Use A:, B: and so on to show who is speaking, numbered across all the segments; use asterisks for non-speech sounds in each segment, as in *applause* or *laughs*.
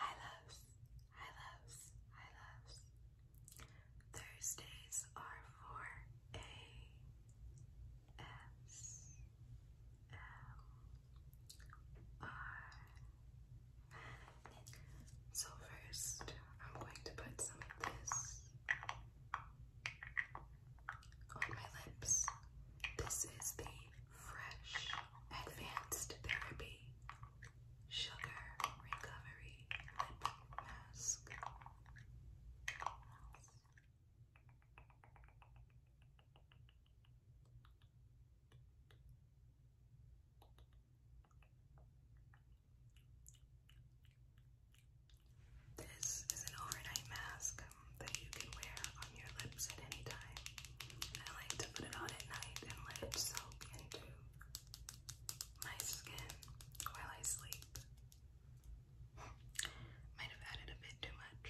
A: Hi loves, hi loves, hi loves. Thursdays are for A S M R. So first, I'm going to put some of this on my lips. This is the fresh, advanced therapy, sugar recovery mask. This is an overnight mask that you can wear on your lips at any time. I like to put it on at night and let it soak into my skin while I sleep. *laughs* Might have added a bit too much.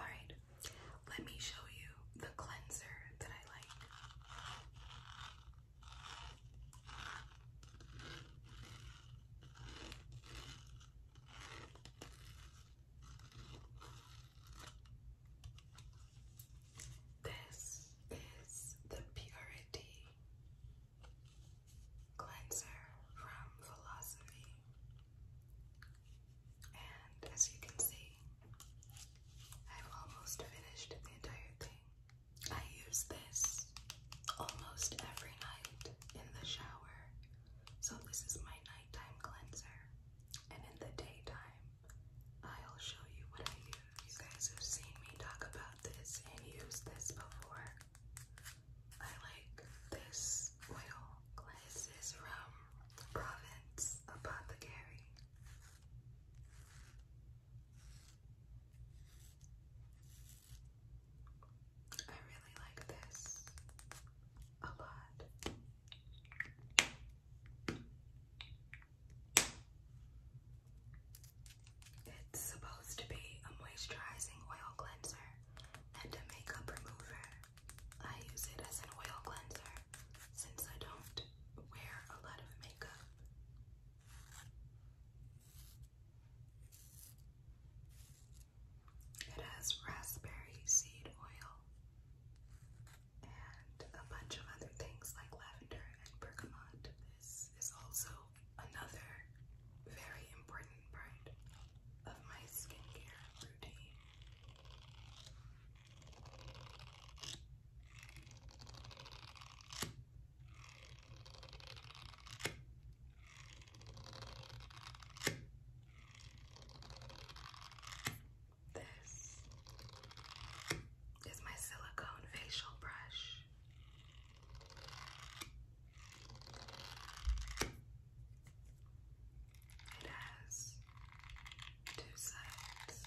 A: Alright, let me show you the cleanser that I like. This is the Purity Cleanser from Philosophy. And as you can see, I've almost finished the entire thing. I use this almost every night in the shower. So this is my nighttime cleanser. And in the daytime, I'll show you what I use. You guys have seen me talk about this and use this before. I like this oil. This from Province Apothecary. I really like this a lot. It's supposed to be a moisturizing oil cleanser and a makeup remover. I use it as an oil cleanser since I don't wear a lot of makeup. It has raspberry seed oil and a bunch of other things like lavender and bergamot. This is also another very important part of my skincare routine. This is my silicone facial brush. It has two sides.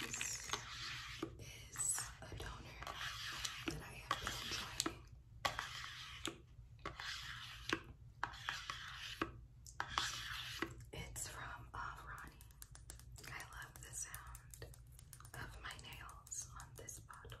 A: This is a toner that I have been trying it's from Avrani. Uh, I love the sound of my nails on this bottle.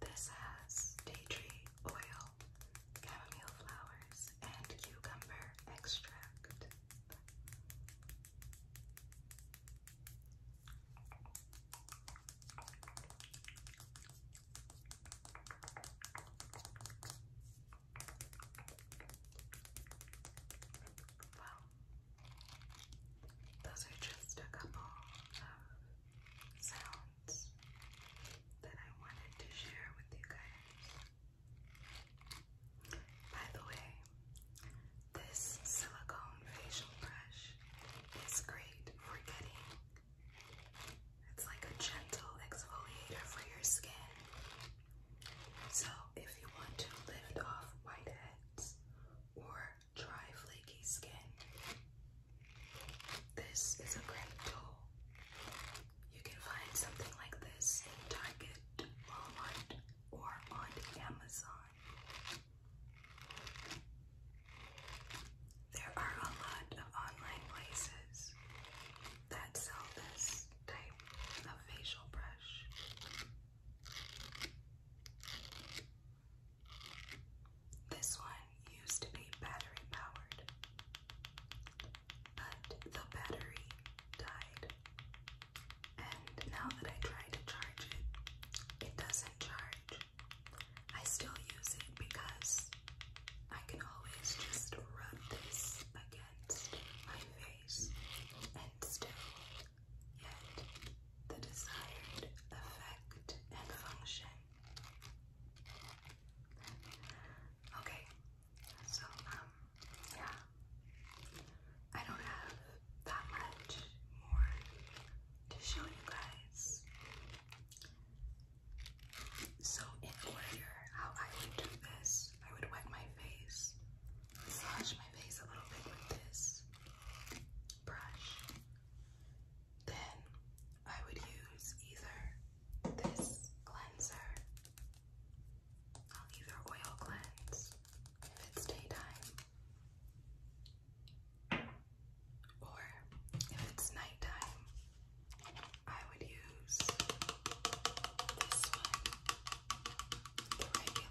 A: This has tea tree oil, chamomile flowers, and cucumber extract. Well, those are just a couple of sounds that I wanted to share with you guys. By the way, this silicone facial brush is great for getting it's like a gentle exfoliator for your skin. So if you want to lift off whiteheads or dry, flaky skin. This is a great tool. You can find something like this in Target, Walmart, or on Amazon. There are a lot of online places that sell this type of facial brush. This one used to be battery powered, but the battery died. And now that I try to charge it, it doesn't charge. I still use it because I can always just rub this against my face and still and the desired effect and function. Okay, so, um, yeah, I don't have that much more to show you guys. So, in order, how I would do this, I would wet my face, massage my face a little bit with this, brush, then I would use either this cleanser. I'll either oil cleanse if it's daytime, or if it's nighttime, I would use this one the regular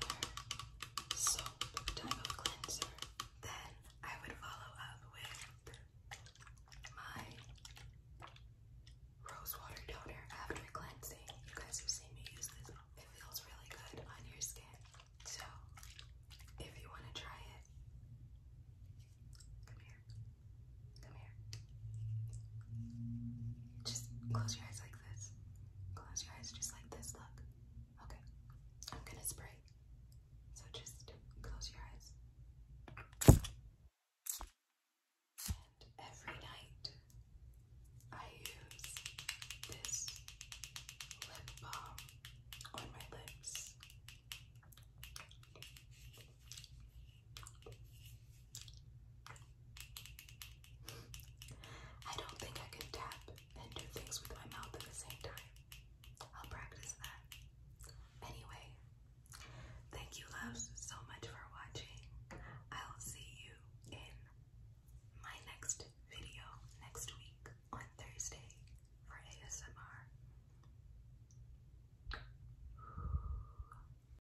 A: soap type of cleanser. Then I would follow up with my rose water toner after cleansing. You guys have seen me use this. It feels really good on your skin. So if you want to try it, come here. Come here. Just close your eyes like Close your eyes just like this. Look. Okay. I'm gonna spray. So just close your eyes. every night I use this lip balm on my lips. I don't think I can tap and do things with my mouth at the same time. I'll practice that. Anyway, thank you loves so much for watching. I'll see you in my next video next week on Thursday for ASMR.